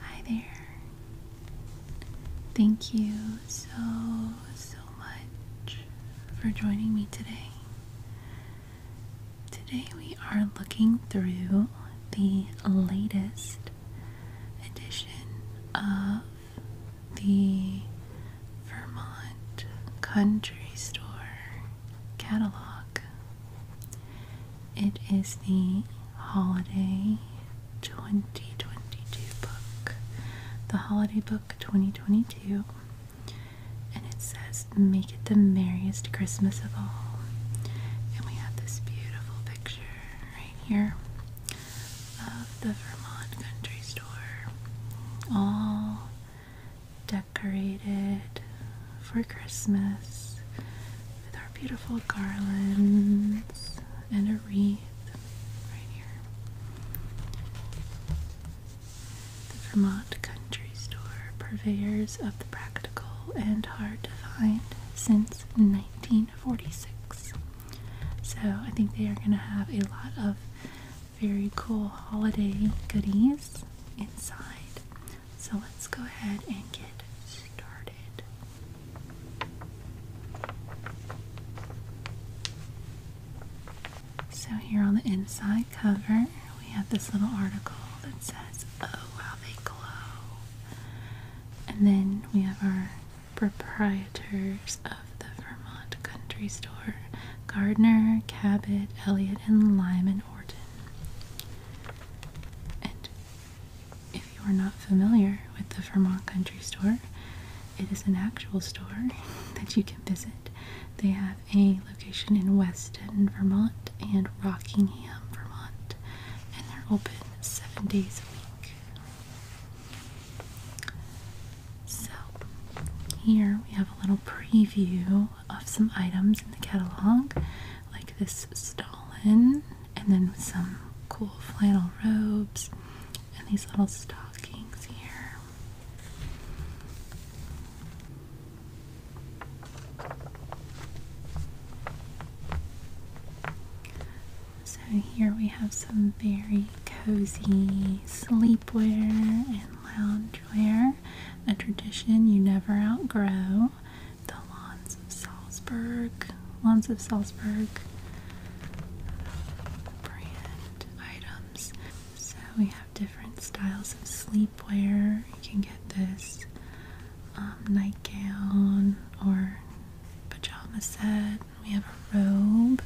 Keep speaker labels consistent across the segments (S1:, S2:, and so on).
S1: Hi there. Thank you so, so much for joining me today. Today we are looking through the latest edition of the Vermont Country Store catalog. It is the Holiday 2022 book. The Holiday Book 2022. And it says, Make it the merriest Christmas of all. And we have this beautiful picture right here of the Vermont Country Store. All decorated for Christmas with our beautiful garlands and a wreath right here. The Vermont Country Store, purveyors of the practical and hard to find since 1946. So I think they are going to have a lot of very cool holiday goodies inside. So let's go ahead and get started. So, here on the inside cover, we have this little article that says, Oh, how they glow. And then we have our proprietors of the Vermont Country Store Gardner, Cabot, Elliot, and Lyman Orton. And if you are not familiar with the Vermont Country Store, it is an actual store that you can visit. They have a location in Weston, Vermont, and Rockingham, Vermont, and they're open seven days a week. So, here we have a little preview of some items in the catalog like this Stalin, and then some cool flannel robes and these little stockings here. So, here we have some very cozy sleepwear and loungewear, a tradition you never outgrow the Lawns of Salzburg, Lawns of Salzburg brand items. So we have different styles of sleepwear. You can get this um, nightgown or pajama set. We have a robe.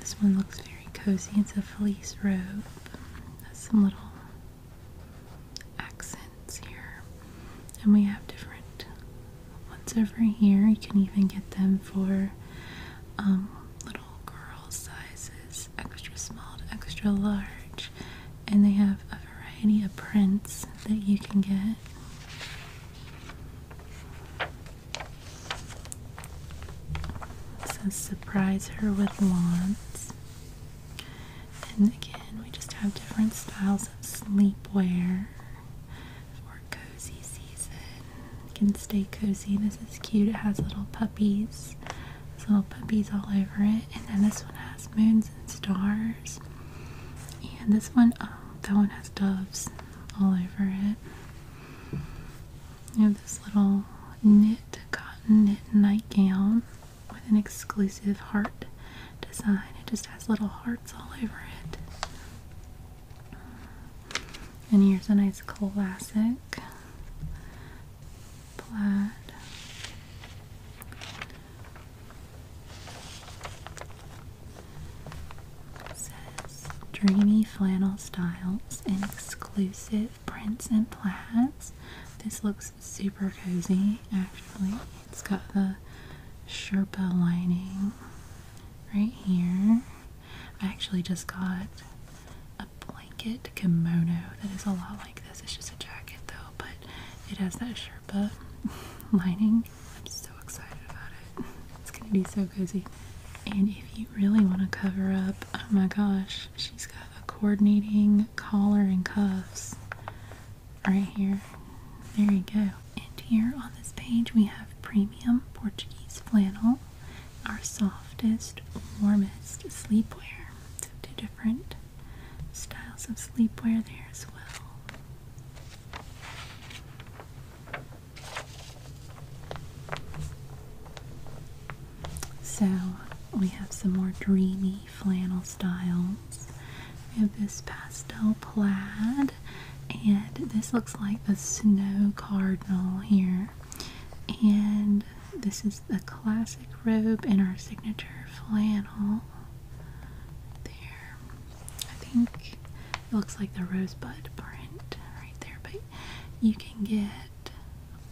S1: This one looks very cozy. It's a fleece robe. Has some little accent here. And we have different ones over here. You can even get them for um, little girl sizes, extra small to extra large. And they have a variety of prints that you can get. It surprise her with lawns. And again, we just have different styles of sleepwear for cozy season. You can stay cozy. This is cute. It has little puppies. little puppies all over it. And then this one has moons and stars. And this one, oh, that one has doves all over it. You have this little knit, cotton knit nightgown with an exclusive heart design. It just has little hearts all over it. And here's a nice classic plaid. says dreamy flannel styles and exclusive prints and plaids. This looks super cozy actually. It's got the Sherpa lining right here. I actually just got a blanket kimono that is a lot like this. It's just a jacket though, but it has that Sherpa lining. I'm so excited about it. It's gonna be so cozy. And if you really want to cover up, oh my gosh, she's got a coordinating collar and cuffs right here. There you go. And here on this page we have premium Portuguese flannel, our softest, warmest sleepwear. So two different styles of sleepwear there as well. So we have some more dreamy flannel styles. We have this pastel plaid, and this looks like the snow cardinal here. And this is the classic robe in our signature flannel. There, I think it looks like the rosebud print right there, but you can get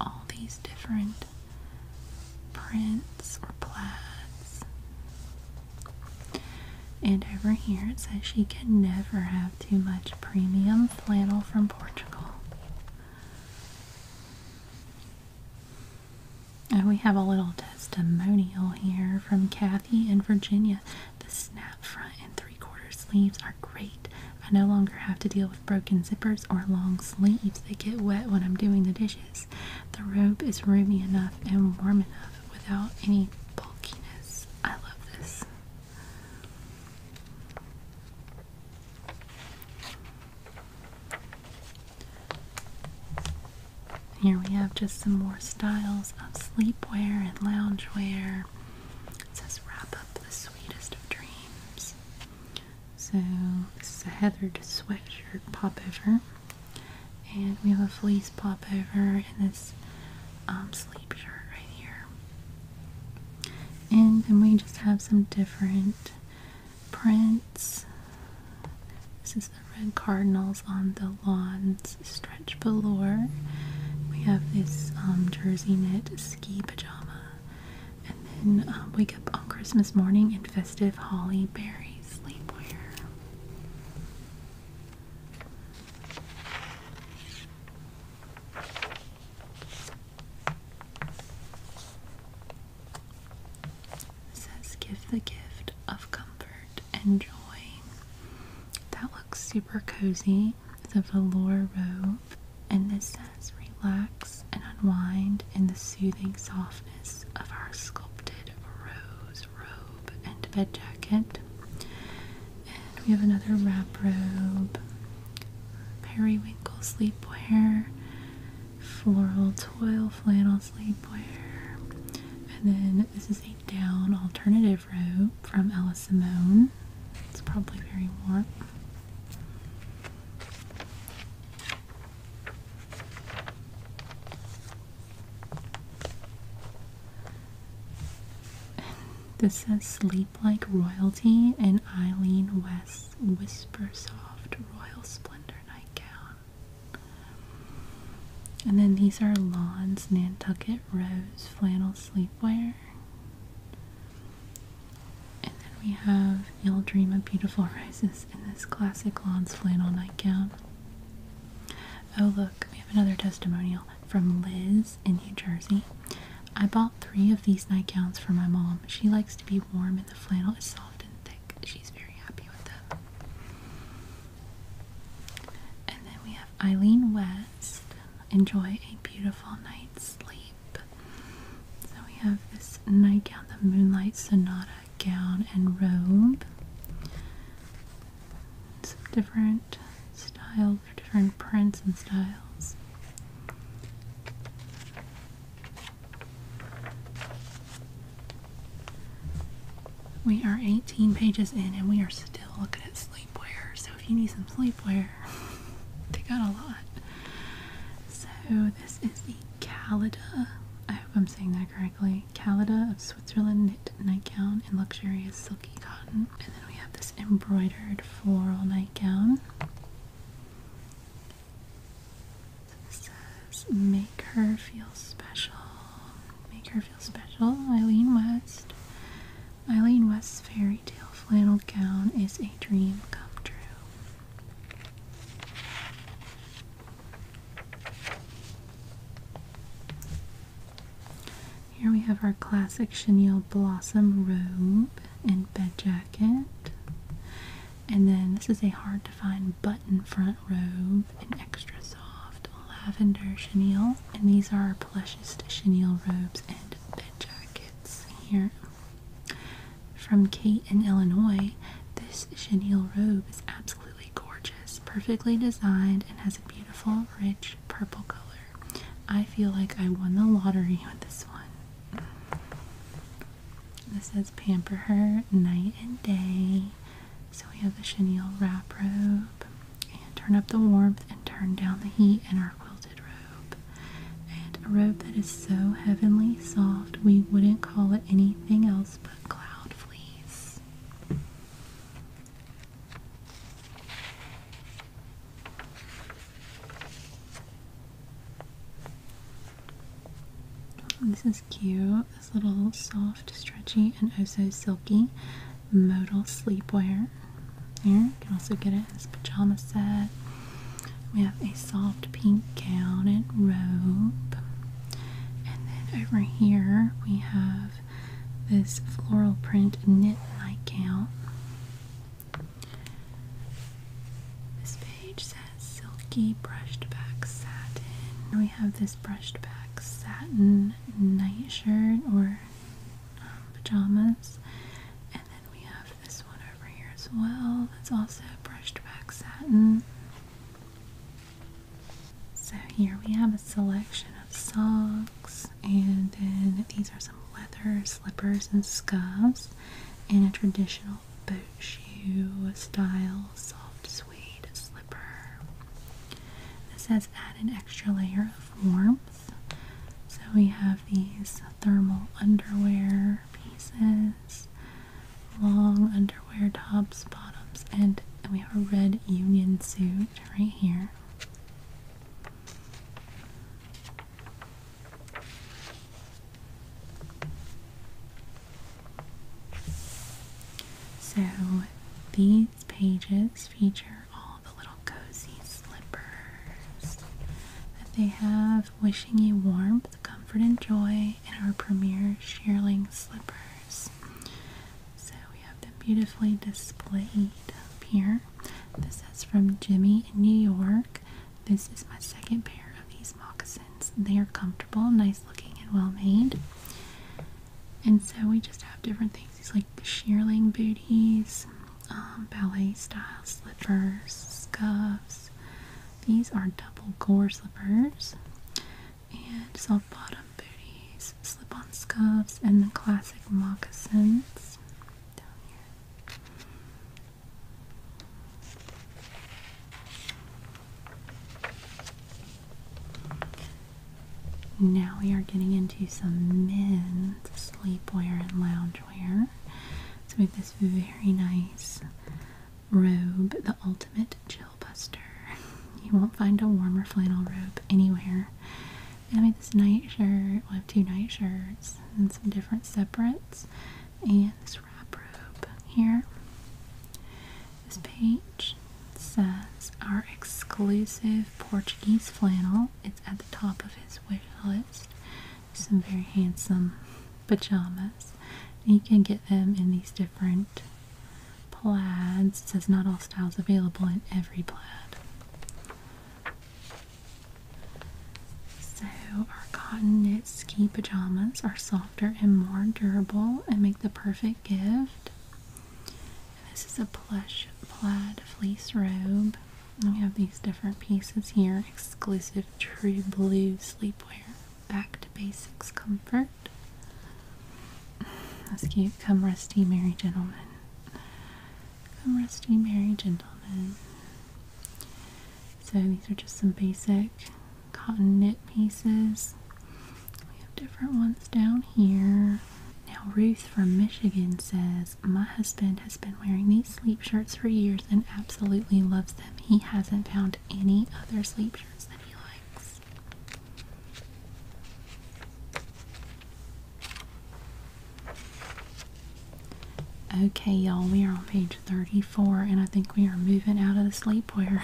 S1: all these different prints or plaids. And over here it says she can never have too much premium flannel from Portugal. we have a little testimonial here from Kathy in Virginia. The snap front and three quarter sleeves are great. I no longer have to deal with broken zippers or long sleeves. that get wet when I'm doing the dishes. The robe is roomy enough and warm enough without any bulkiness. I love this. Here we have just some more styles of sleepwear and loungewear. It says, Wrap up the sweetest of dreams. So this is a heathered sweatshirt popover, and we have a fleece popover and this um, sleep shirt right here. And then we just have some different prints. This is the red cardinals on the lawns stretch velour. We have this um, jersey knit ski pajama and then um, wake up on Christmas morning in festive holly berry sleepwear. says, give the gift of comfort and joy. That looks super cozy. It's a velour robe, and this relax and unwind in the soothing softness of our sculpted rose robe and bed jacket. And we have another wrap robe, periwinkle sleepwear, floral toil flannel sleepwear, and then this is a down alternative robe from Ella Simone. It's probably very warm. This is sleep like royalty and Eileen West whisper soft royal splendor nightgown. And then these are Lawn's Nantucket Rose flannel sleepwear. And then we have You'll Dream a Beautiful Rises in this classic Lawns flannel nightgown. Oh, look, we have another testimonial from Liz in New Jersey. I bought three of these nightgowns for my mom. She likes to be warm, and the flannel is soft and thick. She's very happy with them. And then we have Eileen West. Enjoy a beautiful night's sleep. So we have this nightgown, the Moonlight Sonata gown and robe. Some different styles, different prints and styles. We are 18 pages in and we are still looking at sleepwear. So if you need some sleepwear, they got a lot. So this is the Calida, I hope I'm saying that correctly. Calida of Switzerland knit nightgown in luxurious silky cotton. And then we have this embroidered floral nightgown. So this says, Make her feel special. Make her feel special. Eileen West. Eileen West's fairy tale flannel gown is a dream come true. Here we have our classic chenille blossom robe and bed jacket. And then this is a hard to find button front robe in extra soft lavender chenille. And these are our plushest chenille robes and bed jackets here from Kate in Illinois, this chenille robe is absolutely gorgeous, perfectly designed, and has a beautiful, rich purple color. I feel like I won the lottery with this one. This says Pamper Her Night and Day. So we have the chenille wrap robe. And turn up the warmth and turn down the heat in our quilted robe. And a robe that is so heavenly soft, we wouldn't call it anything else but cloud fleece. Oh, this is cute. This little soft, stretchy, and oh so silky modal sleepwear. Here, you can also get it as pajama set. We have a soft pink gown and robe. And then over here we have this floral print knit nightgown. This page says silky brushed back satin. We have this brushed back satin nightshirt or um, pajamas. And we have this one over here as well. That's also brushed back satin. So here we have a selection of socks, and then these are some leather slippers and scuffs, and a traditional boot shoe style soft suede slipper. This has added extra layer of warmth. So we have these thermal underwear pieces, long underwear tops, bottoms, and, we have a red union suit right here. So these pages feature all the little cozy slippers that they have, wishing you warmth comfort and joy in our premier shearling slippers. So we have them beautifully displayed up here. This is from Jimmy in New York. This is my second pair of these moccasins. They are comfortable, nice looking, and well made. And so we just have different things. These like shearling booties, um, ballet style slippers, scarves. These are double gore slippers and soft bottom booties, slip on scuffs, and the classic moccasins down here. Now we are getting into some men's sleepwear and loungewear. So we have this very nice robe, the ultimate chill buster. You won't find a warmer flannel robe anywhere. I made this nightshirt. shirt. we have two nightshirts and some different separates. And this wrap robe here. This page says our exclusive Portuguese flannel. It's at the top of his wish list some very handsome pajamas. you can get them in these different plaids. It says not all styles available in every plaid. So our cotton knit ski pajamas are softer and more durable and make the perfect gift. this is a plush plaid fleece robe. we have these different pieces here exclusive True Blue Sleepwear. Back to Basics Comfort. That's cute. Come Rusty Merry gentlemen. Come Rusty Merry gentlemen. So these are just some basic cotton knit pieces. We have different ones down here. Now Ruth from Michigan says, My husband has been wearing these sleep shirts for years and absolutely loves them. He hasn't found any other sleep shirts that he likes. Okay, y'all, we are on page 34, and I think we are moving out of the sleepwear.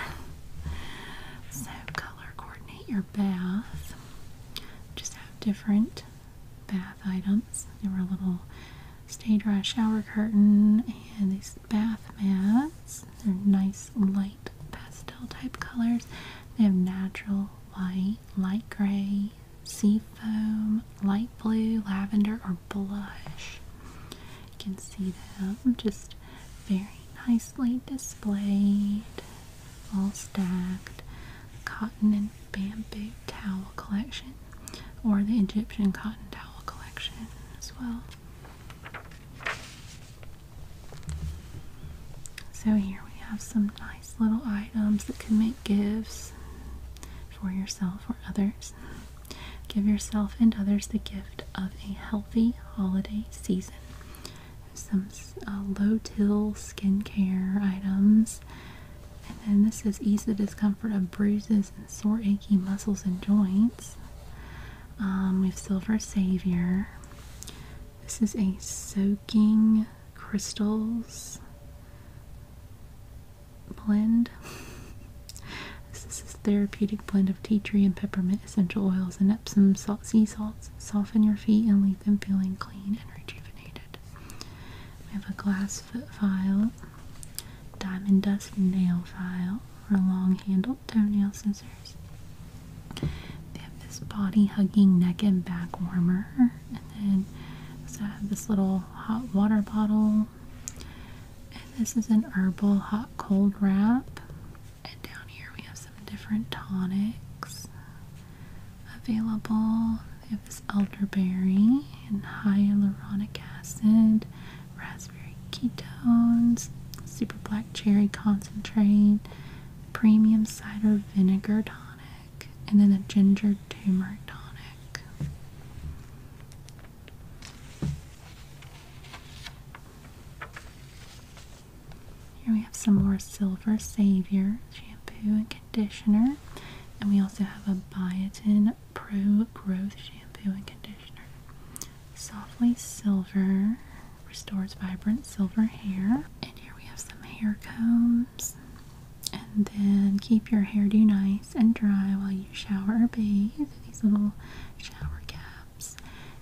S1: so, color coordinate your bath. Just have different bath items. They're a little stay dry shower curtain and these bath mats. They're nice light pastel type colors. They have natural white, light gray, sea foam, light blue, lavender, or blush. You can see them just very nicely displayed, all stacked. Cotton and bamboo towel collection or the Egyptian cotton towel collection as well. So here we have some nice little items that can make gifts for yourself or others. Give yourself and others the gift of a healthy holiday season. Some uh, low-till skincare items and then this is ease the discomfort of bruises and sore, achy muscles and joints. Um, we have Silver Savior. This is a soaking crystals blend. this is therapeutic blend of tea tree and peppermint essential oils and Epsom salt sea salts. Soften your feet and leave them feeling clean and rejuvenated. We have a glass foot file, diamond dust nail file, or long handled toenail scissors. They have this body hugging neck and back warmer, and then we have this little hot water bottle. And this is an herbal hot cold wrap. And down here we have some different tonics available have elderberry and hyaluronic acid, raspberry ketones, super black cherry concentrate, premium cider vinegar tonic, and then a ginger turmeric tonic. Here we have some more Silver Savior shampoo and conditioner. And we also have a biotin Pro Growth Shampoo and Conditioner. Softly Silver restores vibrant silver hair. And here we have some hair combs. And then keep your hairdo nice and dry while you shower or bathe. These little shower caps.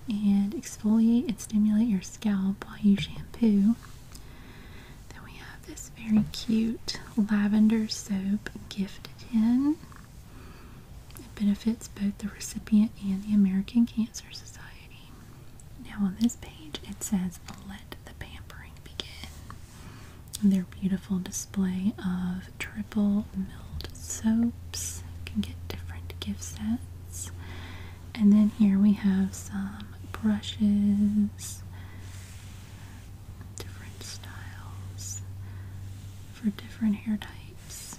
S1: And exfoliate and stimulate your scalp while you shampoo. Then we have the very cute lavender soap gift tin. It benefits both the recipient and the American Cancer Society. Now, on this page, it says, Let the pampering begin. their beautiful display of triple milled soaps. You can get different gift sets. And then here we have some brushes, different styles for different hair types.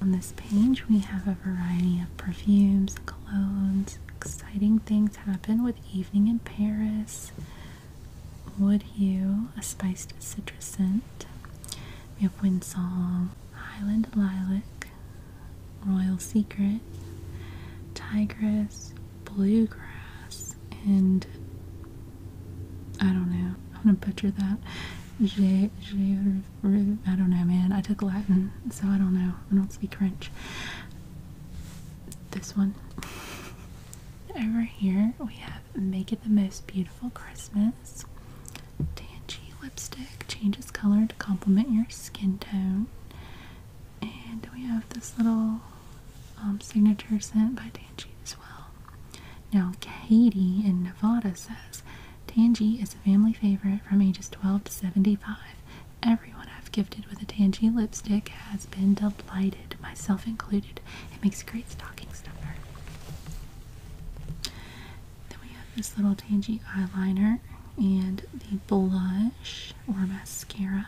S1: On this page, we have a variety of perfumes, colognes, exciting things happen with Evening in Paris, Wood Hue, a spiced citrus scent. We have Wind Song, Highland Lilac, Royal Secret, Tigress, Bluegrass, and I don't know. I'm gonna butcher that. I J, I don't know, man. I took Latin, so I don't know. I don't speak French. This one. Over here we have Make It the Most Beautiful Christmas. Tangy lipstick changes color to complement your skin tone. And we have this little um, signature sent by Tangy as well. Now, Katie in Nevada says Tangy is a family favorite from ages 12 to 75. Everyone I've gifted with a Tangy lipstick has been delighted, myself included. It makes great stocking stuffer. Then we have this little Tangy eyeliner and the blush or mascara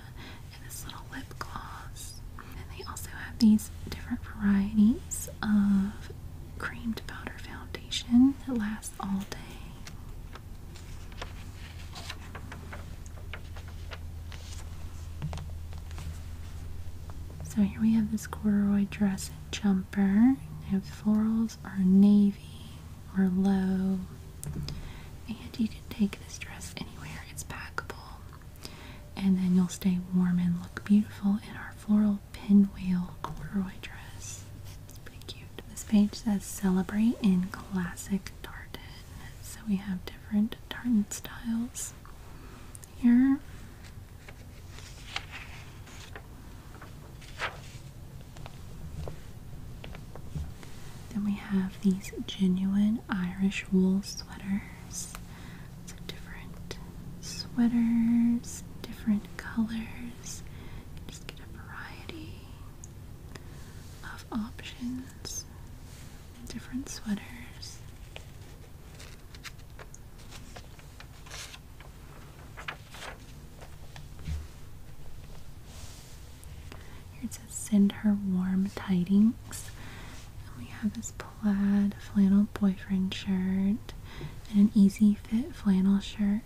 S1: and this little lip gloss. And they also have these different varieties of creamed powder foundation that lasts all day. So here we have this corduroy dress jumper. Their florals are navy or low. And you can take this dress anywhere. It's packable. And then you'll stay warm and look beautiful in our floral pinwheel corduroy dress. It's pretty cute. This page says celebrate in classic tartan. So we have different tartan styles here. Then we have these genuine Irish wool sweaters. different sweaters, different colors. just get a variety of options, different sweaters. Here it says send her warm tidings. And we have this plaid flannel boyfriend shirt and an easy fit flannel shirt.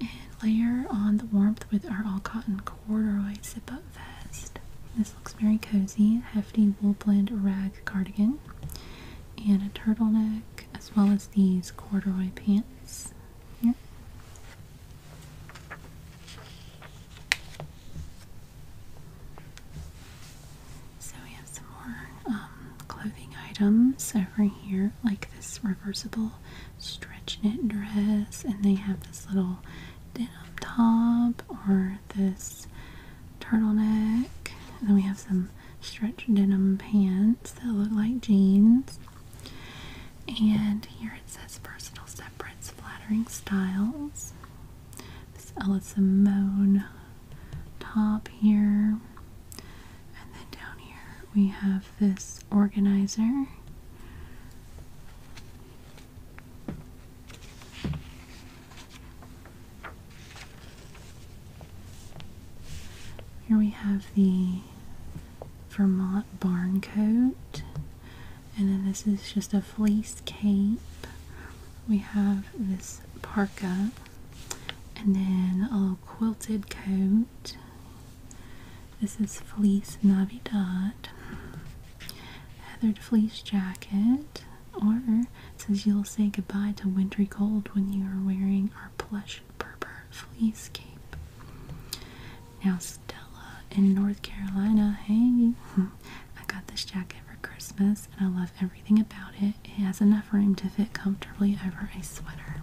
S1: And layer on the warmth with our all cotton corduroy zip up vest. This looks very cozy. Hefty wool blend rag cardigan and a turtleneck as well as these corduroy pants So we have some more um, clothing items over here, like this reversible stretch knit dress, and they have this little denim top or this turtleneck. And then we have some stretch denim pants that look like jeans. And here it says personal separates, flattering styles. This Ella Simone top here. And then down here we have this organizer. Here we have the Vermont barn coat, and then this is just a fleece cape. We have this parka, and then a little quilted coat. This is fleece Navidad, heathered fleece jacket, or says you'll say goodbye to wintry cold when you are wearing our plush purple fleece cape. Now Stella in North Carolina, hey, I got this jacket for Christmas and I love everything about it. It has enough room to fit comfortably over a sweater.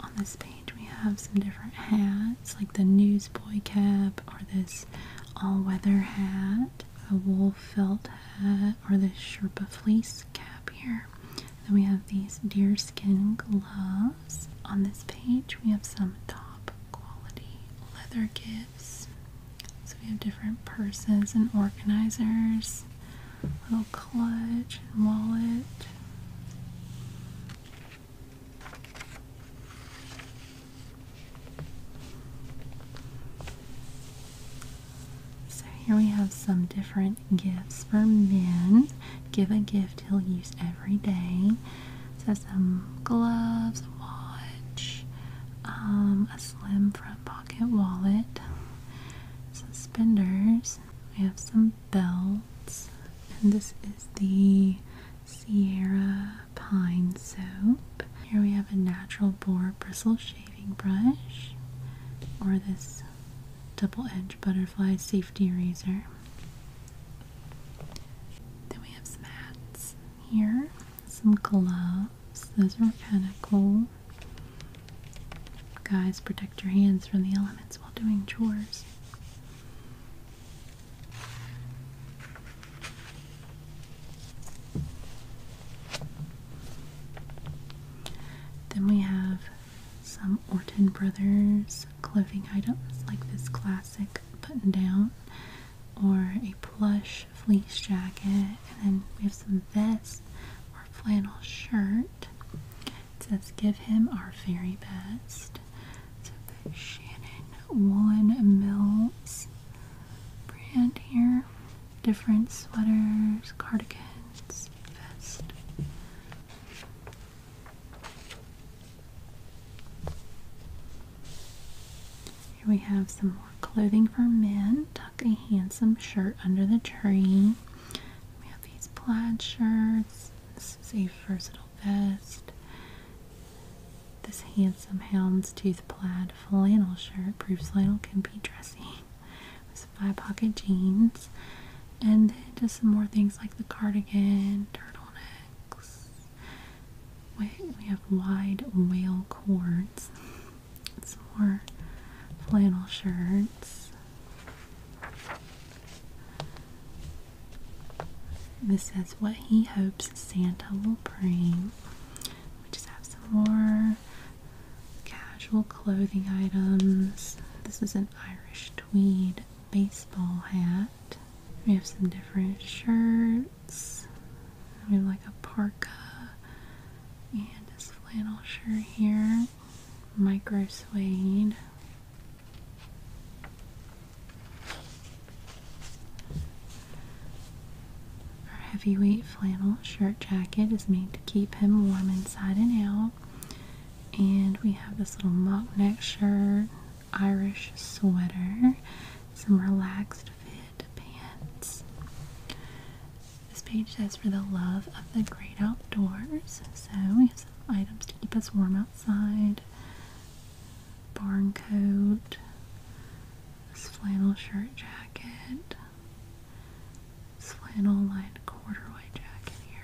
S1: On this page, we have some different hats, like the newsboy cap, or this all weather hat, a wool felt hat, or this Sherpa fleece cap here. Then we have these deerskin gloves. On this page, we have some top quality leather gifts. So we have different purses and organizers little clutch wallet. So here we have some different gifts for men. Give a gift he'll use every day. So some gloves, a watch, um, a slim front pocket wallet, suspenders, we have some belts, and this is the Sierra Pine Soap. Here we have a natural bore bristle shaving brush, or this double edged butterfly safety razor. Then we have some hats here, some gloves, those are kind of cool. Guys, protect your hands from the elements while doing chores. Then we have some Orton Brothers clothing items like this classic button down or a plush fleece jacket, and then we have some vests or flannel shirt. It says, give him our very best. So Shannon Woolen Mills brand here. Different sweaters, cardigans, vest. Here we have some more clothing for men. Tuck a handsome shirt under the tree these plaid shirts. This is a versatile vest. This handsome houndstooth plaid flannel shirt proves flannel can be dressy. With five pocket jeans. And then just some more things like the cardigan, turtlenecks. We have wide whale cords. Some more flannel shirts. This says what he hopes Santa will bring. We just have some more casual clothing items. This is an Irish tweed baseball hat. We have some different shirts. We have like a parka and a flannel shirt here micro suede. Our heavyweight flannel shirt jacket is made to keep him warm inside and out. And we have this little mock neck shirt, Irish sweater, some relaxed fit pants. This page says for the love of the great outdoors. So we have some items to keep us warm outside. Barn coat, this flannel shirt jacket, this flannel lined corduroy jacket here.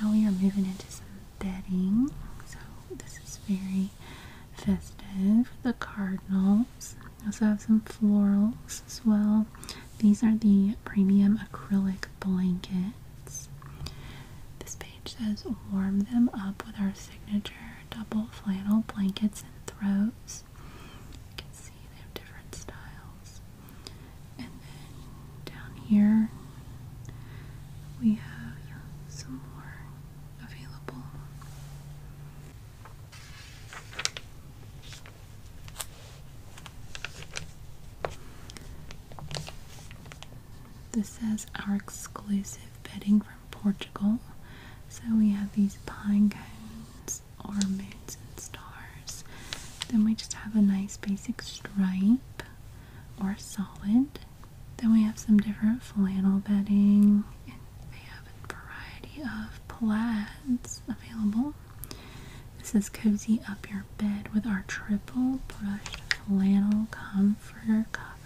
S1: Now we are moving into some bedding. So this is very festive. The cardinals. Also have some florals as well. These are the premium acrylic blankets. This page says warm them up with our signature double flannel blankets and throws. You can see they have different styles. And then down here we have some more available. This says our exclusive bedding from Portugal. So we have these pine cones or moons and stars. Then we just have a nice basic stripe or solid. Then we have some different flannel bedding, and they have a variety of plaids available. This is Cozy Up Your Bed with our triple brushed flannel comforter cover.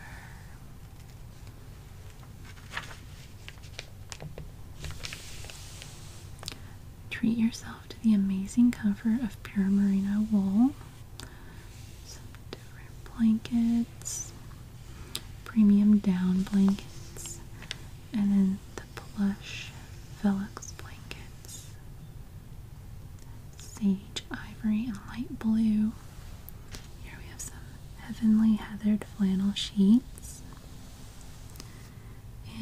S1: Treat yourself to the amazing comfort of pure merino wool some different blankets, premium down blankets, and then the plush Velux blankets, sage ivory and light blue. Here we have some heavenly heathered flannel sheets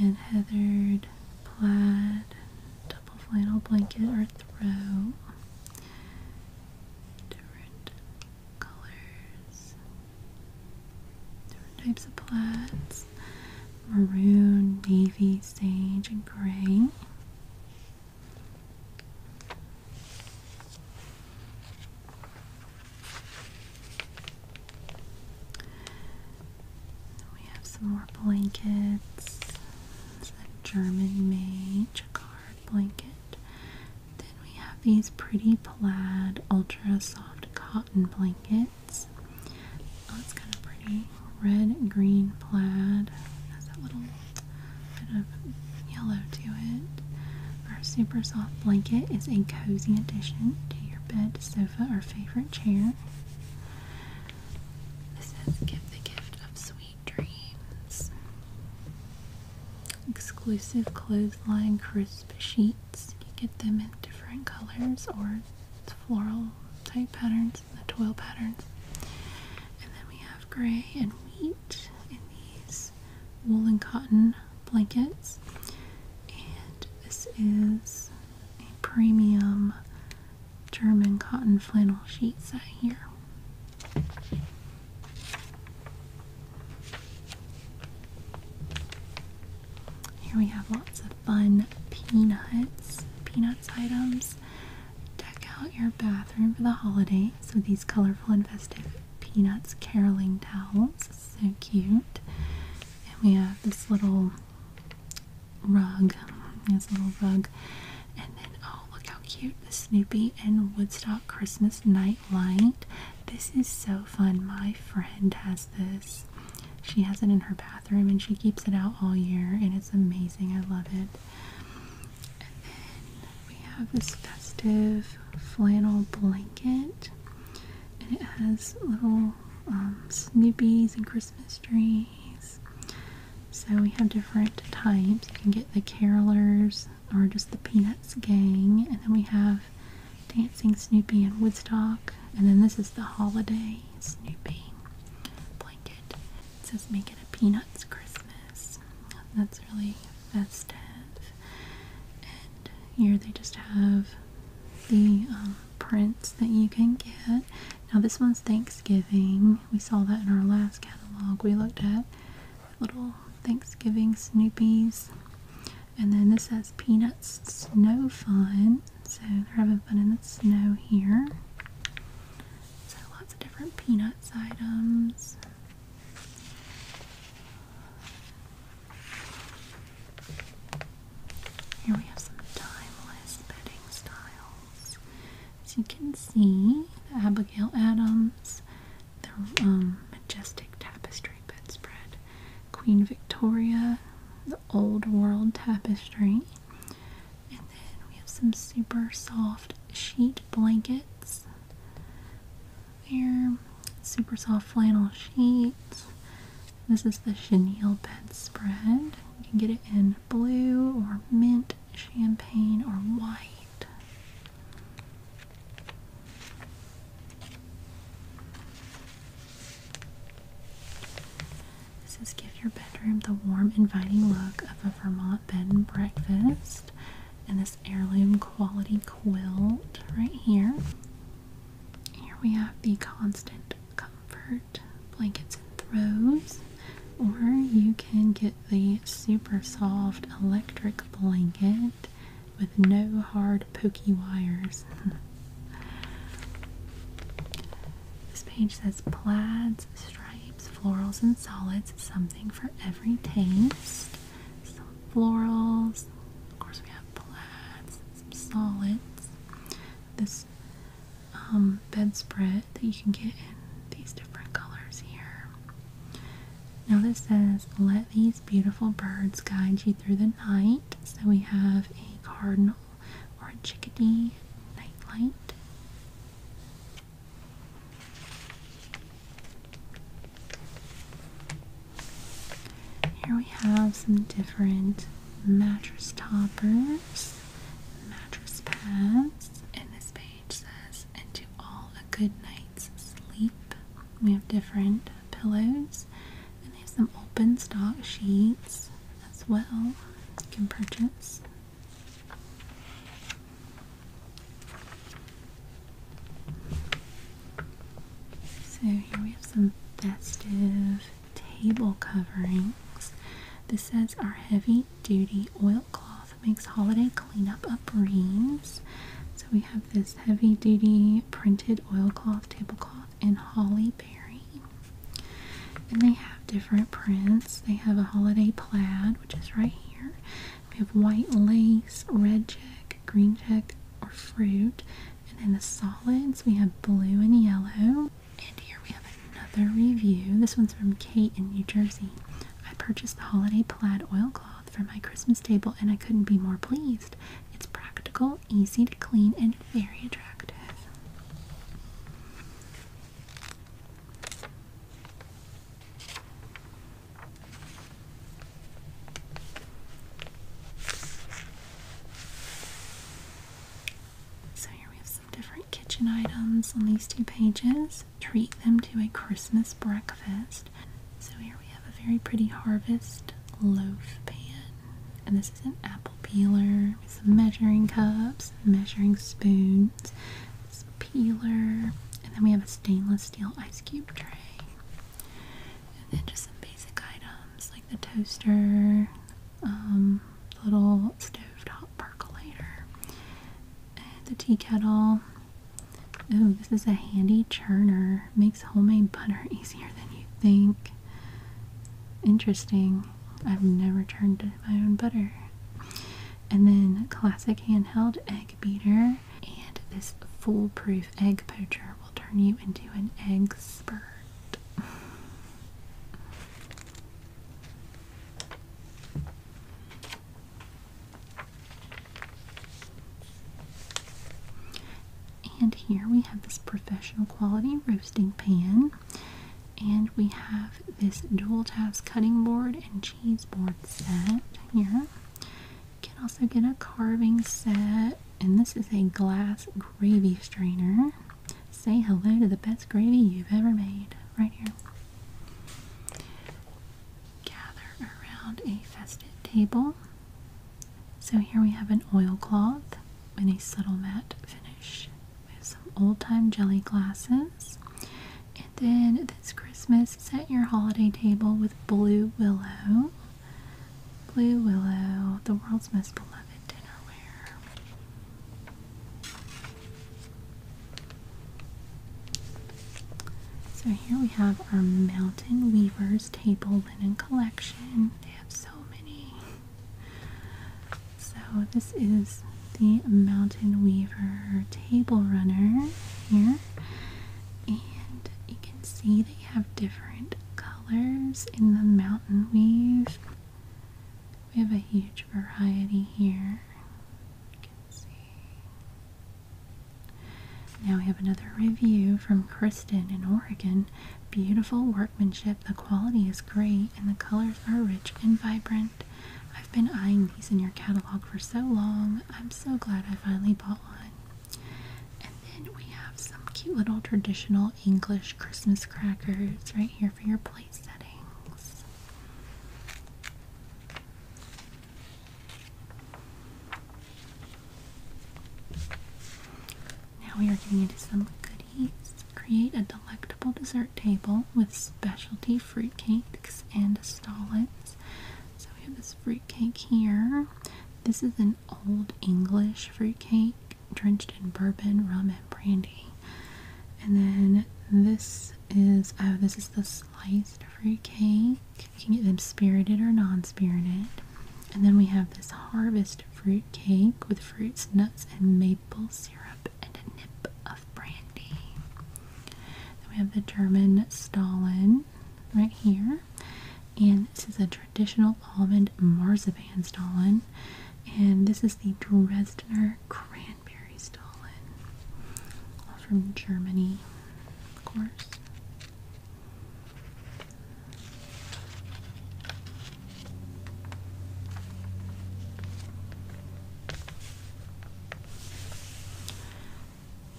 S1: and heathered plaid double flannel blanket or throw different colors, different types of plaids maroon, navy, sage, and gray. We have some more blankets. It's German made beach, blanket. Then we have these pretty plaid, ultra soft cotton blankets. Oh, it's kind of pretty. Red, green, plaid. Has a little bit of yellow to it. Our super soft blanket is a cozy addition to your bed, sofa, or favorite chair. This says give the gift of sweet dreams. Exclusive clothesline crisp sheets. You get them in different colors or floral type patterns, the twill patterns. And then we have gray and wheat in these wool and cotton blankets. And this is a premium German cotton flannel sheets set here. Here we have lots of fun peanuts, peanuts items. Deck out your bathroom for the holiday. So these colorful and festive peanuts caroling towels. So cute. And we have this little rug. This little rug and then, oh, look how cute the Snoopy and Woodstock Christmas night light. This is so fun. My friend has this. She has it in her bathroom and she keeps it out all year, and it's amazing. I love it. And then we have this festive flannel blanket, and it has little um, Snoopies and Christmas trees so we have different types. You can get the Carolers or just the Peanuts gang, and then we have Dancing Snoopy and Woodstock, and then this is the Holiday Snoopy blanket. It says Make It a Peanuts Christmas. That's really festive. And here they just have the um, prints that you can get. Now this one's Thanksgiving. We saw that in our last catalog we looked at. Little Thanksgiving Snoopies. And then this has Peanuts Snow Fun. So they're having fun in the snow here. So lots of different Peanuts items. Here we have some timeless bedding style. As you can see, the Abigail Adams, the um, majestic tapestry bedspread, Queen Victoria, the old world tapestry, and then we have some super soft sheet blankets there, super soft flannel sheets. This is the chenille bedspread. You can get it in blue or mint champagne, or white. This is give your bedroom the warm, inviting look of a Vermont bed and breakfast. And this heirloom quality quilt right here. Here we have the constant comfort blankets and throws, or you can get the super soft electric blanket with no hard pokey wires. this page says plaids, stripes, florals, and solids, something for every taste. Some florals, of course, we have plaids, some solids. This um, bedspread that you can get in these different colors here. Now this says, let these beautiful birds guide you through the night. So we have a cardinal or a chickadee nightlight. Here we have some different mattress toppers, mattress pads. And this page says, and to all a good night's sleep. We have different pillows and they have some open stock sheets as well you can purchase. So here we have some festive table coverings. This says are heavy Duty Oilcloth makes holiday cleanup a breeze. So we have this heavy duty printed oilcloth, tablecloth, and holly berry. And they have different prints. They have a holiday plaid, which is right here. We have white lace, red check, green check, or fruit. And then the solids, we have blue and yellow. And here we have another review. This one's from Kate in New Jersey. I purchased the holiday plaid oilcloth for my Christmas table and I couldn't be more pleased. It's practical, easy to clean, and very attractive. So here we have some different kitchen items on these two pages. Treat them to a Christmas breakfast. So here we have a very pretty harvest loaf pan. And this is an apple peeler with some measuring cups, measuring spoons, this peeler, and then we have a stainless steel ice cube tray. And then just some basic items like the toaster, um, little stove top percolator. the tea kettle. Oh, this is a handy churner. Makes homemade butter easier than you think. Interesting. I've never churned my own butter. And then classic handheld egg beater. And this foolproof egg poacher will turn you into an egg expert. And here we have this professional quality roasting pan. And we have this dual task cutting board and cheese board set here. You can also get a carving set, and this is a glass gravy strainer. Say hello to the best gravy you've ever made. Right here. Gather around a festive table. So here we have an oilcloth with a subtle matte finish We have some old time jelly glasses. And then this Christmas, set your holiday table with Blue Willow. Blue Willow, the world's most beloved dinnerware. So here we have our Mountain Weavers table linen collection. They have so many. So this is the Mountain Weaver table runner here. And you can see they have different colors in the mountain weave. We have a huge variety here. Now we have another review from Kristen in Oregon. Beautiful workmanship. The quality is great and the colors are rich and vibrant. I've been eyeing these in your catalog for so long. I'm so glad I finally bought one. And then we have some cute little traditional English Christmas crackers right here for your plate settings. Now we are getting into some goodies. Create a delectable dessert table with specialty fruit cakes and solids. So we have this fruit cake here. This is an old English fruit cake, drenched in bourbon, rum, brandy. And then this is oh, this is the sliced fruit cake. You can get them spirited or non-spirited. And then we have this harvest fruit cake with fruits, nuts, and maple syrup and a nip of brandy. Then we have the German Stalin right here. And this is a traditional almond marzipan Stalin. And this is the Dresdner cran Canberry Stollen. from Germany, of course.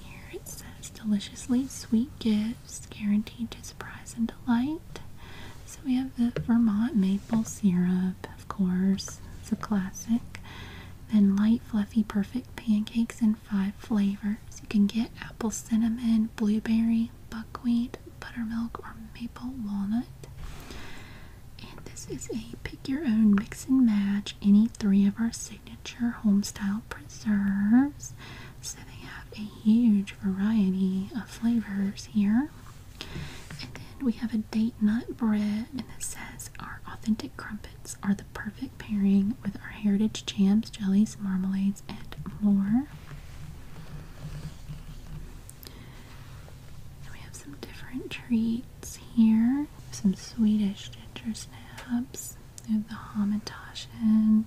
S1: Here it says deliciously sweet gifts guaranteed to surprise and delight. So we have the Vermont maple syrup, of course. It's a classic. Then light, fluffy, perfect pancakes in five flavors. You can get apple cinnamon, blueberry, buckwheat, buttermilk, or maple walnut. And this is a pick your own mix and match any three of our signature home style preserves. So they have a huge variety of flavors here. And then we have a date nut bread, and it says our authentic crumpets are the perfect pairing with our heritage jams, jellies, marmalades, and more. we have some different treats here. Some Swedish ginger snaps. the hamantaschen,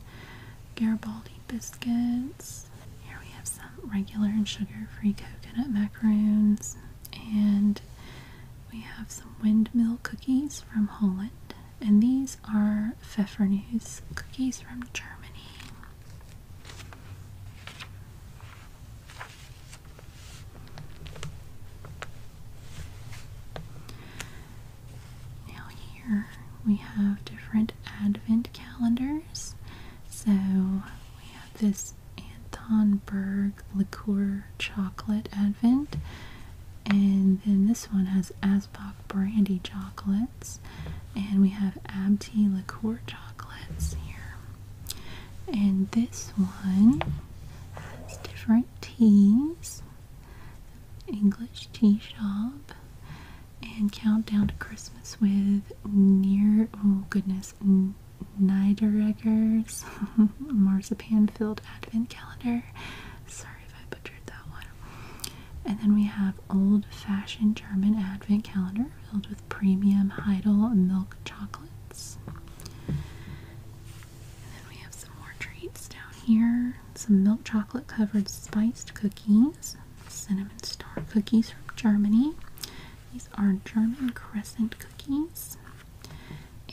S1: Garibaldi biscuits. Here we have some regular and sugar-free coconut macaroons, and we have some windmill cookies from Holland, and these are Pfeffernuss cookies from Germany. Now here we have different advent calendars. So we have this Anton Berg Liqueur Chocolate Advent. And then this one has Asbach Brandy Chocolates. And we have Abti Liqueur Chocolates here. And this one has different teas. English Tea Shop. And Countdown to Christmas with near, oh goodness, Niederegger's marzipan filled advent calendar. Sorry if I butchered that one. And then we have old fashioned German advent calendar filled with premium Heidel milk chocolates. And then we have some more treats down here. Some milk chocolate covered spiced cookies, cinnamon star cookies from Germany, these are German crescent cookies.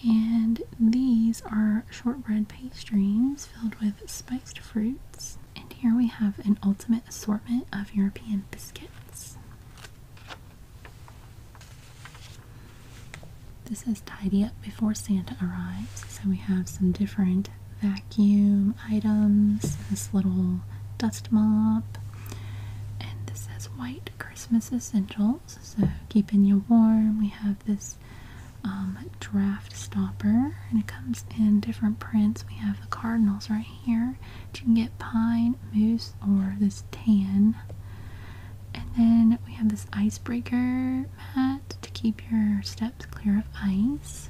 S1: And these are shortbread pastries filled with spiced fruits. And here we have an ultimate assortment of European biscuits. This is tidy up before Santa arrives. So we have some different vacuum items, this little dust mop, and this is white Christmas essentials. So keeping you warm. We have this um, draft stopper, and it comes in different prints. We have the cardinals right here. You can get pine, moose, or this tan. And then we have this icebreaker mat to keep your steps clear of ice.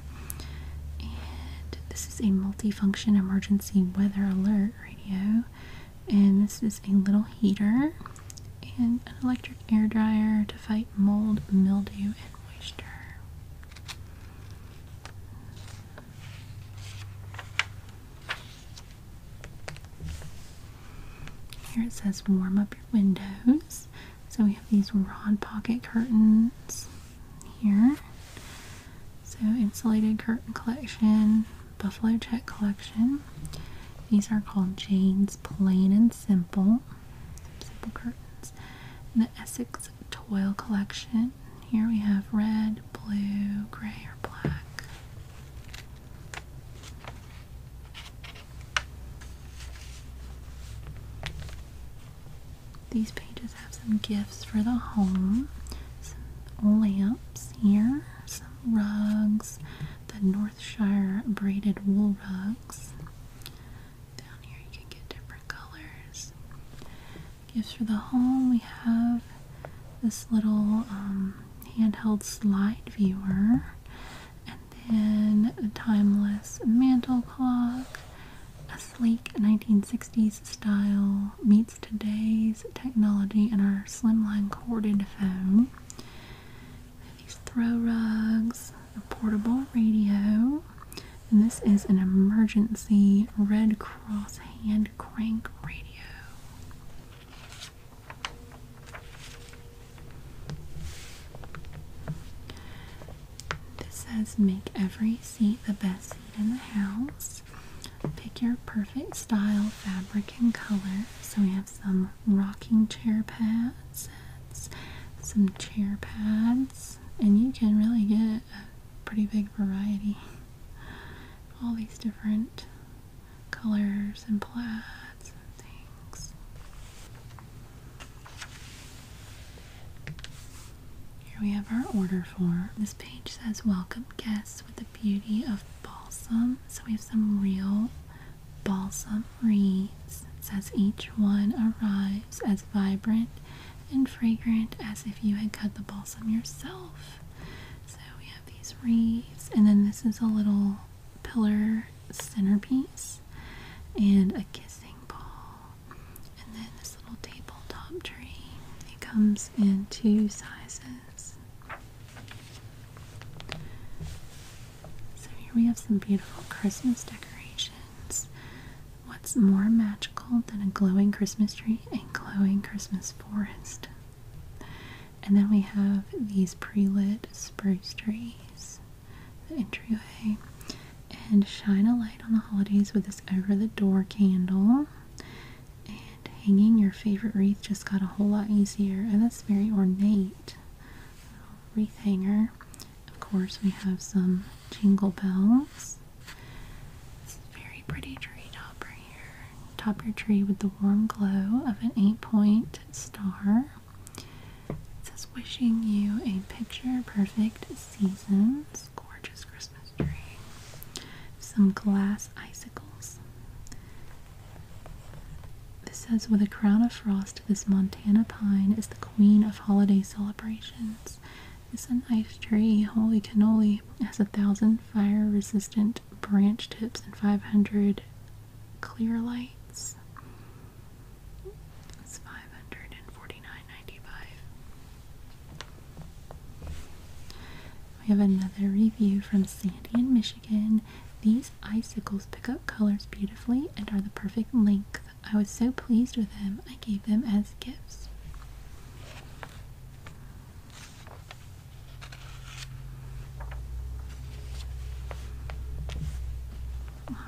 S1: And this is a multifunction emergency weather alert radio, and this is a little heater and an electric air dryer to fight mold, mildew, and moisture. Here it says warm up your windows. So we have these rod pocket curtains here. So insulated curtain collection, buffalo check collection. These are called Jane's Plain and Simple. Simple curtains. the Essex Toile collection. Here we have red, blue, gray, or black. These pages have some gifts for the home, some lamps here, some rugs, the Northshire braided wool rugs. Down here you can get different colors. Gifts for the home, we have this little um, handheld slide viewer, and then a timeless mantel clock, sleek 1960s style meets today's technology in our slimline corded phone. These throw rugs, a portable radio, and this is an emergency Red Cross hand crank radio. This says make every seat the best seat in the house pick your perfect style, fabric, and color. So we have some rocking chair pads, sets, some chair pads, and you can really get a pretty big variety. All these different colors and plaids and things. Here we have our order form. This page says welcome guests with the beauty of balsam. So we have some real balsam wreaths. It says each one arrives as vibrant and fragrant as if you had cut the balsam yourself. So we have these wreaths, and then this is a little pillar centerpiece and a kissing ball. And then this little tabletop tree. It comes in two sizes. So here we have some beautiful Christmas decorations. What's more magical than a glowing Christmas tree and glowing Christmas forest? And then we have these pre-lit spruce trees, the entryway, and shine a light on the holidays with this over-the-door candle and hanging your favorite wreath just got a whole lot easier and that's very ornate wreath hanger of course we have some jingle bells This a very pretty tree topper here top your tree with the warm glow of an eight point star it says wishing you a picture perfect seasons gorgeous some glass icicles. This says, with a crown of frost, this Montana pine is the queen of holiday celebrations. It's an ice tree, holy cannoli. has a thousand fire resistant branch tips and 500 clear lights. It's 549 we have another review from Sandy in Michigan. These icicles pick up colors beautifully and are the perfect length. I was so pleased with them, I gave them as gifts.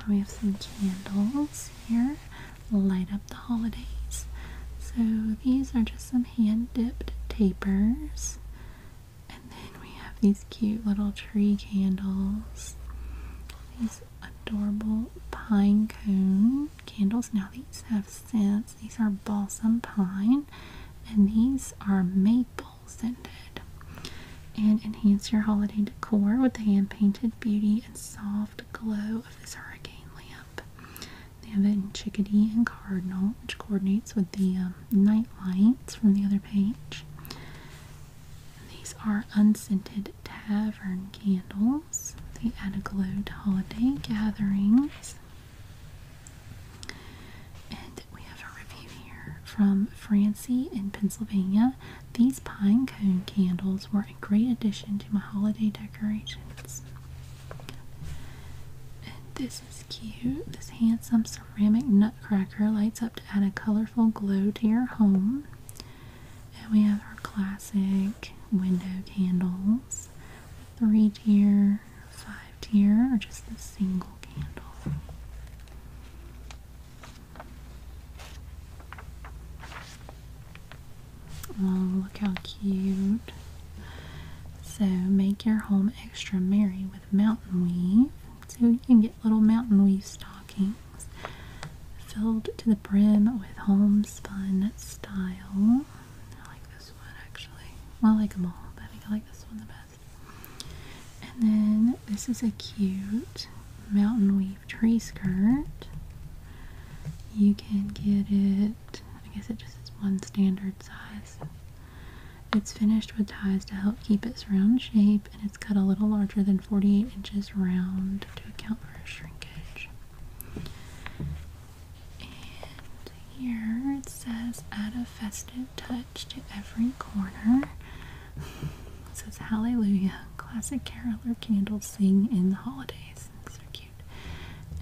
S1: We have some candles here light up the holidays. So these are just some hand dipped tapers. And then we have these cute little tree candles. These adorable pine cone candles. Now these have scents. These are balsam pine. And these are maple scented. And enhance your holiday decor with the hand painted beauty and soft glow of this hurricane lamp. They have it in chickadee and cardinal, which coordinates with the um, night lights from the other page. These are unscented tavern candles. They add a glow to holiday gatherings. And we have a review here from Francie in Pennsylvania. These pine cone candles were great addition to my holiday decorations. this is cute. This handsome ceramic nutcracker lights up to add a colorful glow to your home. And we have our classic window candles. Three tier, five tier, or just a single candle. Oh, look how cute. So, make your home extra merry with mountain weave. So, you can get little mountain weave stockings filled to the brim with homespun style. I like this one actually. Well, I like them all, but I think I like this one the best. And then, this is a cute mountain weave tree skirt. You can get it I guess it just is one standard size. It's finished with ties to help keep its round shape, and it's cut a little larger than 48 inches round to account for shrinkage. And here it says, add a festive touch to every corner. it says, Hallelujah, classic carol or candles sing in the holidays. So cute.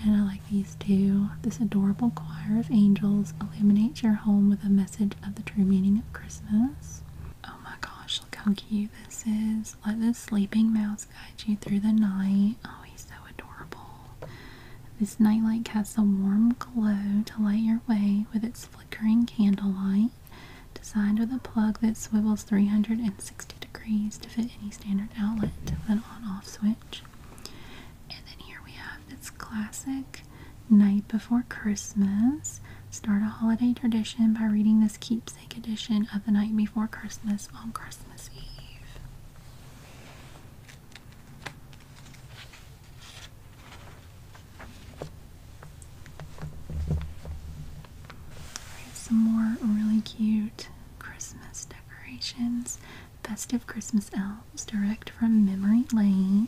S1: And I like these two. This adorable choir of angels illuminates your home with a message of the true meaning of Christmas. Oh my gosh, look how cute this is. Let the sleeping mouse guide you through the night. Oh, he's so adorable. This nightlight casts a warm glow to light your way with its flickering candlelight. Designed with a plug that swivels 360 60 degrees to fit any standard outlet with an on-off switch. And then here we have this classic Night Before Christmas. Start a holiday tradition by reading this keepsake edition of The Night Before Christmas on Christmas Eve. Some more really cute Christmas decorations, festive Christmas elves, direct from Memory Lane.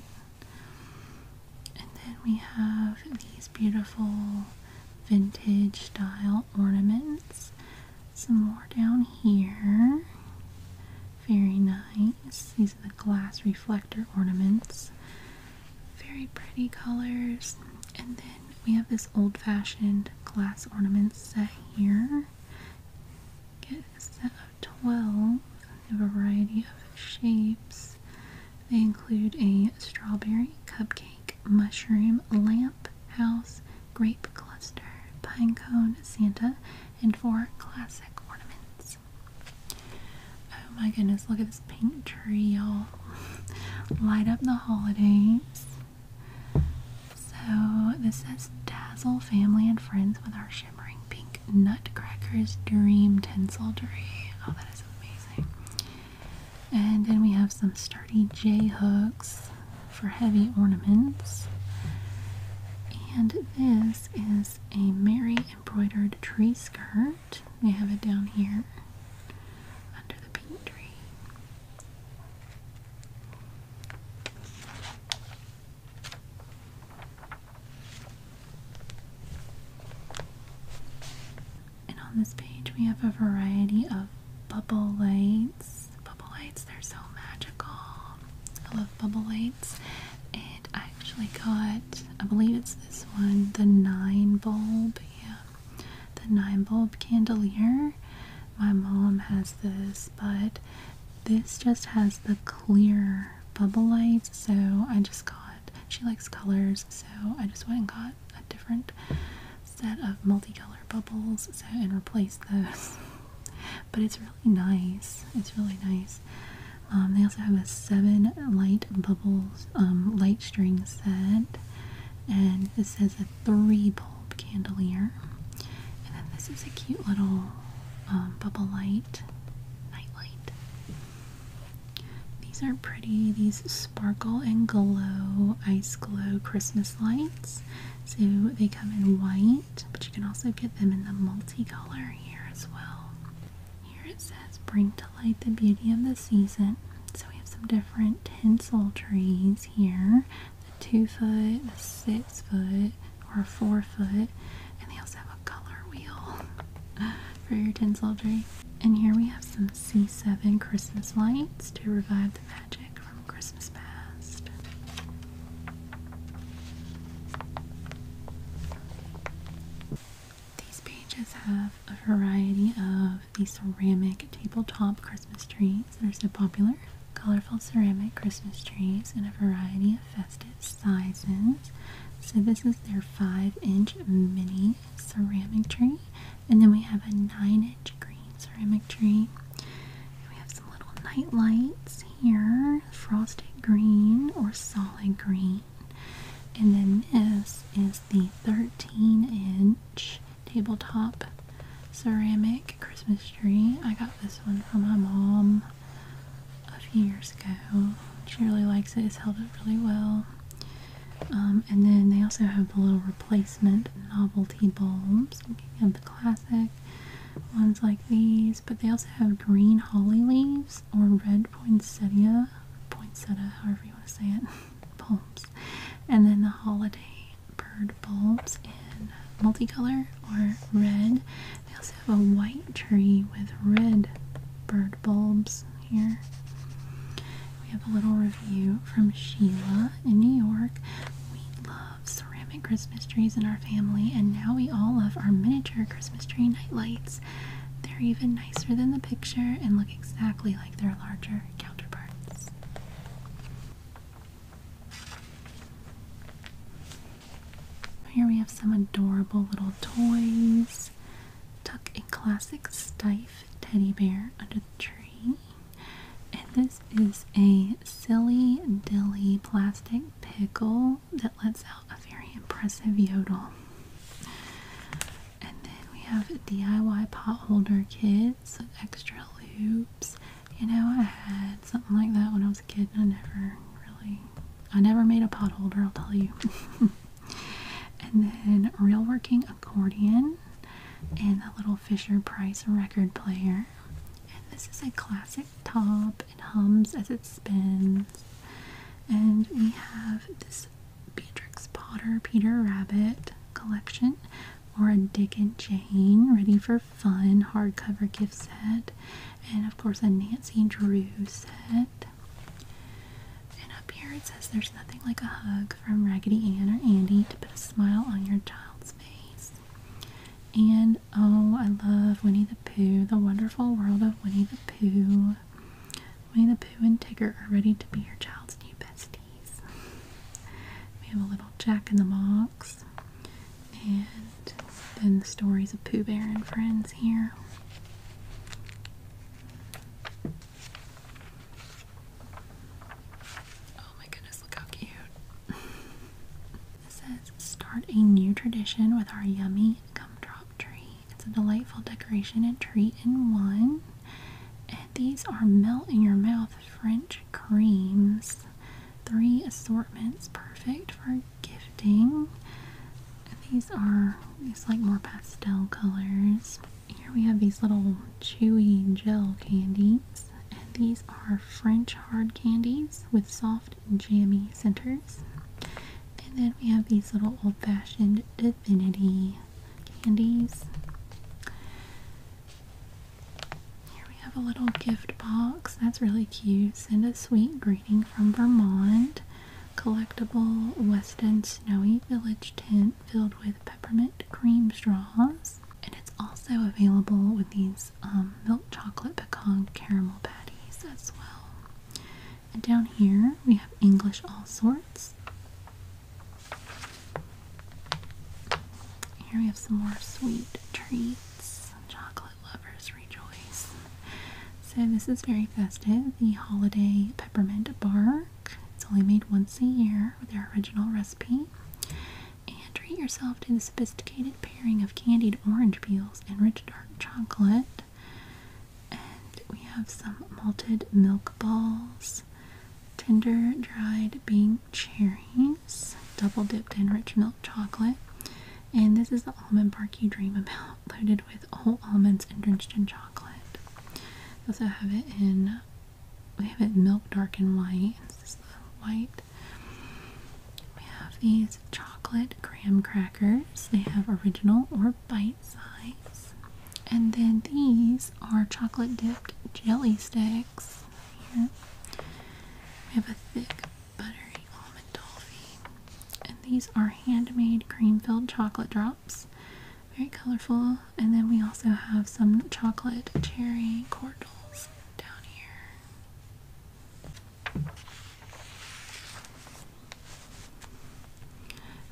S1: And then we have these beautiful vintage style ornaments. Some more down here. Very nice. These are the glass reflector ornaments. Very pretty colors. And then we have this old-fashioned glass ornaments set here. Get a set of 12 a variety of shapes. They include a strawberry cupcake, mushroom, lamp, house, grape cluster, pine cone, Santa, and four classic ornaments. Oh my goodness, look at this pink tree, y'all. Light up the holidays. So this says dazzle family and friends with our shimmering pink nutcrackers dream tinsel tree. Oh, that is amazing. And then we have some sturdy J hooks for heavy ornaments. And this is a Mary embroidered tree skirt. We have it down here under the pink tree. And on this page, we have a variety of bubble lights. Bubble lights, they're so magical. I love bubble lights. And I actually got, I believe it's this one, the nine bulb. Yeah, the nine bulb candelier. My mom has this, but this just has the clear bubble lights. So I just got, she likes colors, so I just went and got a different set of multicolored bubbles so, and replaced those. but it's really nice. It's really nice. Um, they also have a seven light bubbles um, light string set, and it says that three bulb candelier. And then this is a cute little um, bubble light, night light. These are pretty. These sparkle and glow, ice glow Christmas lights. So they come in white, but you can also get them in the multicolor here as well. Here it says, bring to light the beauty of the season. So we have some different tinsel trees here the two foot, the six foot, or four foot, and they also have a color wheel for your tinselry. And here we have some C7 Christmas lights to revive the magic from Christmas past. These pages have a variety of the ceramic tabletop Trees. trees are so popular. Colorful ceramic Christmas trees in a variety of festive sizes. So this is their 5-inch mini ceramic tree. And then we have a 9-inch green ceramic tree. We have some little night lights here. Frosted green or solid green. And then this is the 13-inch tabletop ceramic Christmas tree. I got this one from my mom a few years ago. She really likes it. It's held up really well. Um, and then they also have the little replacement novelty bulbs. You can get the classic ones like these, but they also have green holly leaves or red poinsettia, poinsettia, however you want to say it. bulbs. And then the holiday bird bulbs in multicolor or red. They also have a white tree with red bird bulbs here. We have a little review from Sheila in New York. We love ceramic Christmas trees in our family, and now we all love our miniature Christmas tree nightlights. They're even nicer than the picture and look exactly like their larger counterparts. Here we have some adorable little toys. Tuck a classic Stife teddy bear under the tree. And this is a silly dilly plastic pickle that lets out a very impressive yodel. And then we have a DIY pot holder kid pants extra loops. You know, I had something like that when I was a kid I never really, I never made a pot holder, I'll tell you. and then real working accordion and a little Fisher Price record player. And this is a classic top. It hums as it spins. And we have this Beatrix Potter Peter Rabbit collection or a Dick and Jane Ready for Fun hardcover gift set, and of course a Nancy Drew set. And up here it says there's nothing like a hug from Raggedy Ann or Andy to put a smile on your child's face. And oh, I love Winnie the Pooh, the wonderful world of Winnie the Pooh. Winnie the Pooh and Tigger are ready to be your child's new bestie we have a little Jack in the Box, and then the stories of Pooh Bear and Friends here. Oh my goodness, look how cute! it says, Start a new tradition with our yummy gumdrop tree. It's a delightful decoration and treat in one. These are melt in your mouth French creams. Three assortments, perfect for gifting. These are these like more pastel colors. Here we have these little chewy gel candies. And these are French hard candies with soft jammy centers. And then we have these little old-fashioned divinity candies. Here we have a little gift box. That's really cute. Send a sweet greeting from Vermont. Collectible West End Snowy Village tent filled with peppermint cream straws. And it's also available with these um, milk chocolate pecan caramel patties as well. And down here we have English All Sorts. Here we have some more sweet treats. Chocolate lovers rejoice. So this is very festive. The holiday peppermint bark. It's only made once a year with their original recipe. And treat yourself to the sophisticated pairing of candied orange peels and rich dark chocolate. And we have some malted milk balls tender dried pink cherries, double dipped in rich milk chocolate. And this is the almond bark you dream about, loaded with whole almonds and drenched in chocolate. We also have it in we have it milk dark and white. And this is the white. We have these chocolate graham crackers. They have original or bite size. And then these are chocolate dipped jelly sticks. Here. We have a thick buttery almond toffee. And these are handmade cream filled chocolate drops. Very colorful. And then we also have some chocolate cherry cordials down here.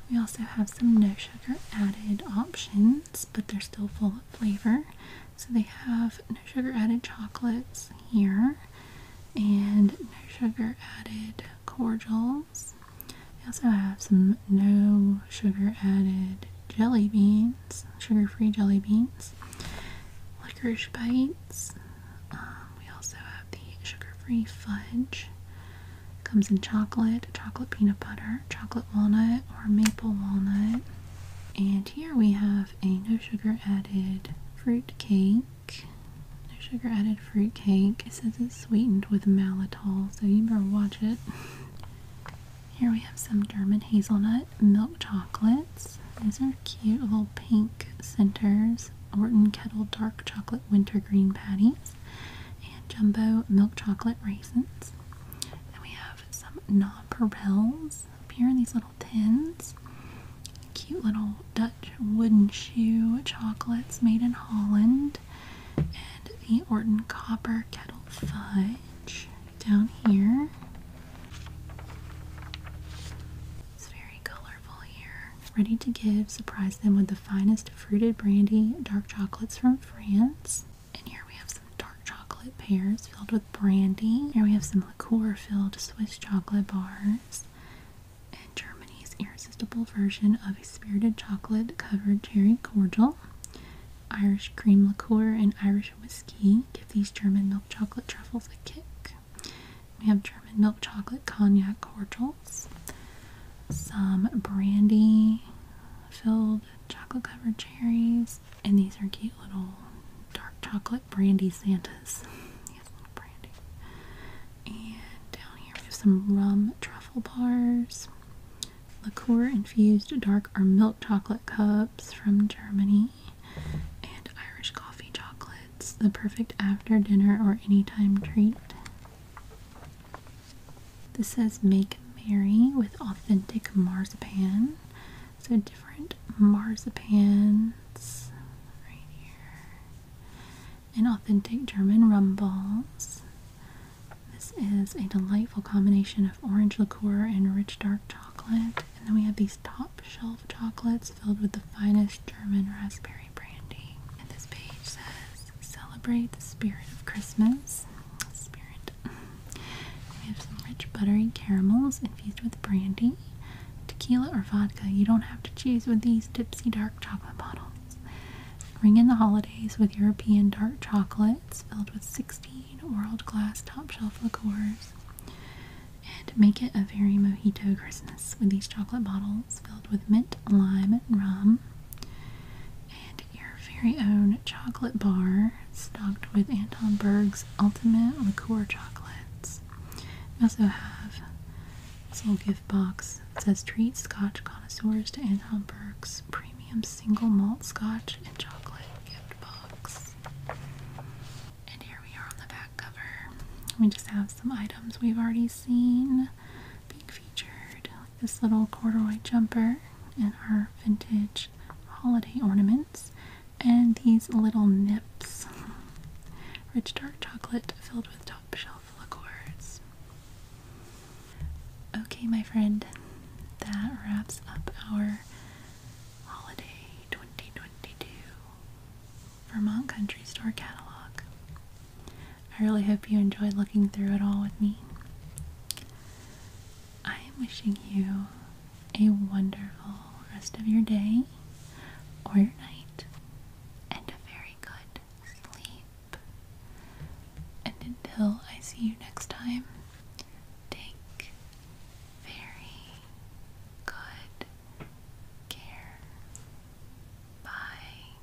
S1: We also have some no sugar added options but they're still full of flavor. So they have no sugar added chocolates here and no sugar added cordials. They also have some no sugar added jelly beans, sugar free jelly beans, licorice bites. Um, we also have the sugar free fudge. Comes in chocolate, chocolate peanut butter, chocolate walnut, or maple walnut. And here we have a no sugar added fruit cake. No sugar added fruit cake. It says it's sweetened with malitol, so you better watch it. Here we have some German hazelnut milk chocolates. These are cute little pink centers. Orton Kettle Dark Chocolate Wintergreen Patties and Jumbo Milk Chocolate Raisins. Then we have some nonpareils up here in these little tins. Cute little Dutch wooden shoe chocolates made in Holland. And the Orton Copper Kettle Fudge down here. It's very colorful here. Ready to give, surprise them with the finest fruited brandy, dark chocolates from France. And here we have some dark chocolate pears filled with brandy. Here we have some liqueur filled Swiss chocolate bars. And Germany's irresistible version of a spirited chocolate covered cherry cordial. Irish cream liqueur and Irish whiskey give these German milk chocolate truffles a kick. We have German milk chocolate cognac cordials, some brandy filled chocolate covered cherries, and these are cute little dark chocolate brandy Santas. And down here we have some rum truffle bars, liqueur infused dark or milk chocolate cups from Germany, and Irish coffee chocolates, the perfect after dinner or anytime treat. This says Make Merry with authentic marzipan. So different marzipans right here. And authentic German rum balls. This is a delightful combination of orange liqueur and rich dark chocolate. And then we have these top shelf chocolates filled with the finest German raspberry brandy. And this page says celebrate the spirit of Christmas. Spirit. We have some rich buttery caramels infused with brandy, tequila, or vodka. You don't have to choose with these tipsy dark chocolate bottles. Ring in the holidays with European dark chocolates filled with 16 world class top shelf liqueurs. And make it a very mojito Christmas with these chocolate bottles filled with mint, lime, and rum. And your very own chocolate bar stocked with Anton Berg's Ultimate Liqueur Chocolates. We also have this little gift box that says Treat Scotch Connoisseurs to Anton Berg's Premium Single Malt Scotch and Chocolate Gift Box. And here we are on the back cover. We just have some items we've already seen being featured this little corduroy jumper and our vintage holiday ornaments and these little nips. Rich dark chocolate filled with top shelf liquors. Okay, my friend, that wraps up our holiday 2022 Vermont Country Store catalog. I really hope you enjoyed looking through it all with me. I am wishing you a wonderful rest of your day or your night and a very good sleep. And until I see you next time, take very good care. Bye.